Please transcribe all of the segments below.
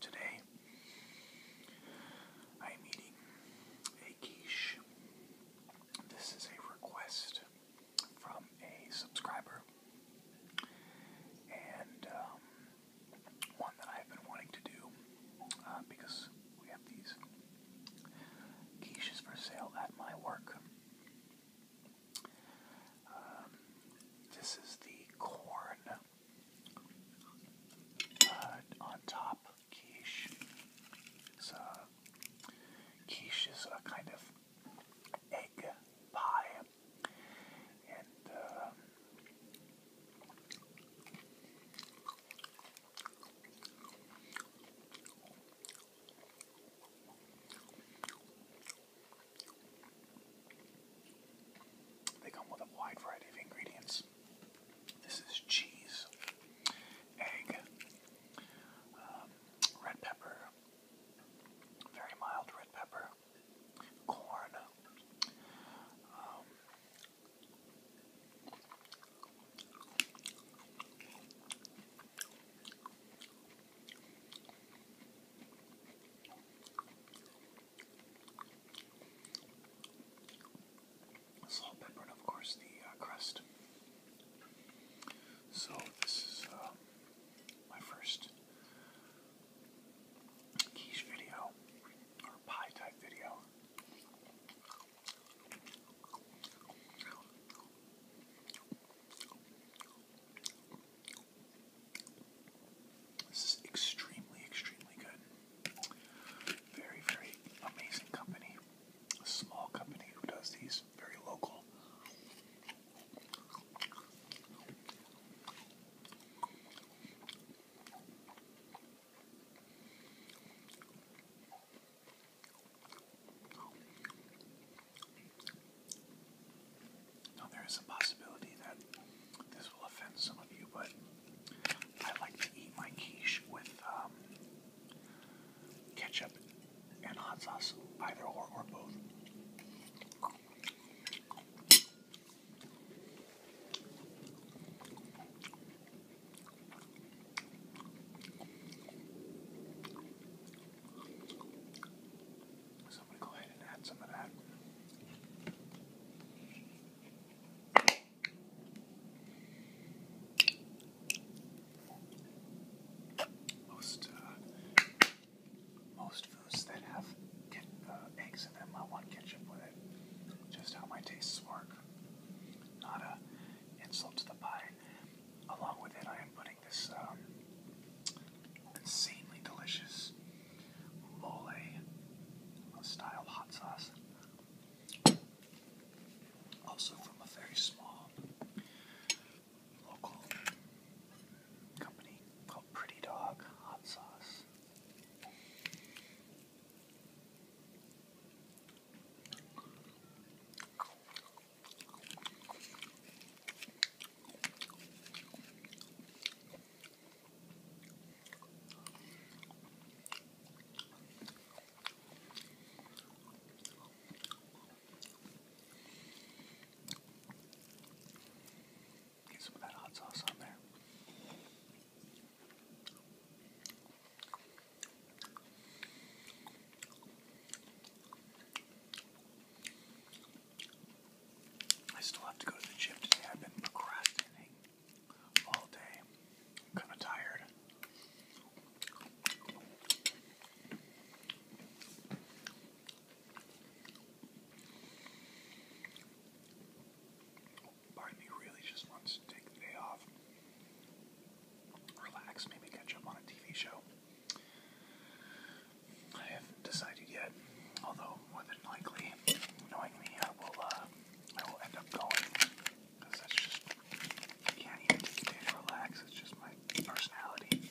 Today, I am eating a quiche. This is a request from a subscriber and um, one that I've been wanting to do uh, because we have these quiches for sale at my work. Um, this is the corn uh, on top quiche. So, uh, quiche is a kind of egg pie, and uh, they come with a wide variety of ingredients. This is cheese, egg, um, red pepper, very mild red pepper, corn, um, Salt, pepper, and of course the uh, crust. So this is uh, my first quiche video or pie type video. This is extremely, extremely good. Very, very amazing company. A small company who does these, very local. Now, there is a possibility that this will offend some of you, but I like to eat my quiche with um, ketchup and hot sauce, either or or both. So I'm going to go ahead and add some of that. Most uh, most foods that have get, uh, eggs in them, I want ketchup with it. Just how my tastes work not a insult to the pie. Along with it, I am putting this um, insanely delicious mole uh, style hot sauce, also from a very small local company called Pretty Dog Hot Sauce. Get some of that hot sauce on there. I still have to go to the gym today. I've been procrastinating all day. I'm kind of tired. Part really just wants to take the day off, relax, maybe catch up on a TV show. I haven't decided yet, although more than likely, knowing me, I will, uh, I will end up going because that's just I can't even take to relax. It's just my personality.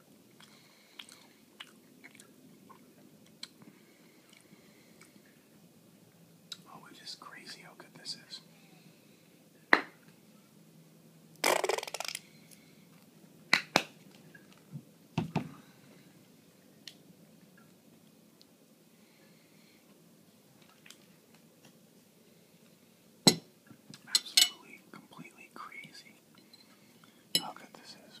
Oh, it is crazy how good this is. Absolutely, completely crazy how good this is.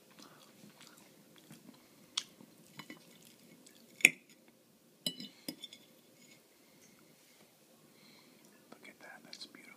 Look at that, that's beautiful.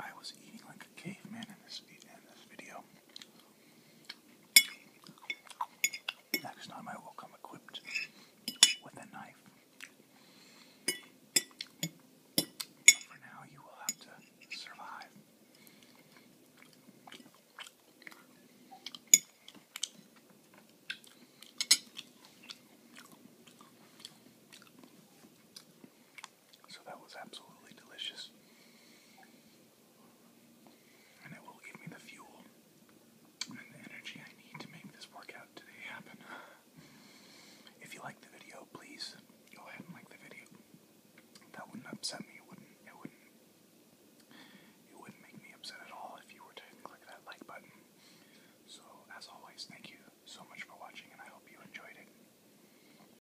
I was eating like a caveman in this in this video. Next time I will come equipped with a knife. for now, you will have to survive. So that was absolutely delicious. And it will give me the fuel and the energy I need to make this workout today happen. If you like the video, please go ahead and like the video. That wouldn't upset me. wouldn't. It wouldn't. It wouldn't make me upset at all if you were to click that like button. So, as always, thank you so much for watching, and I hope you enjoyed it.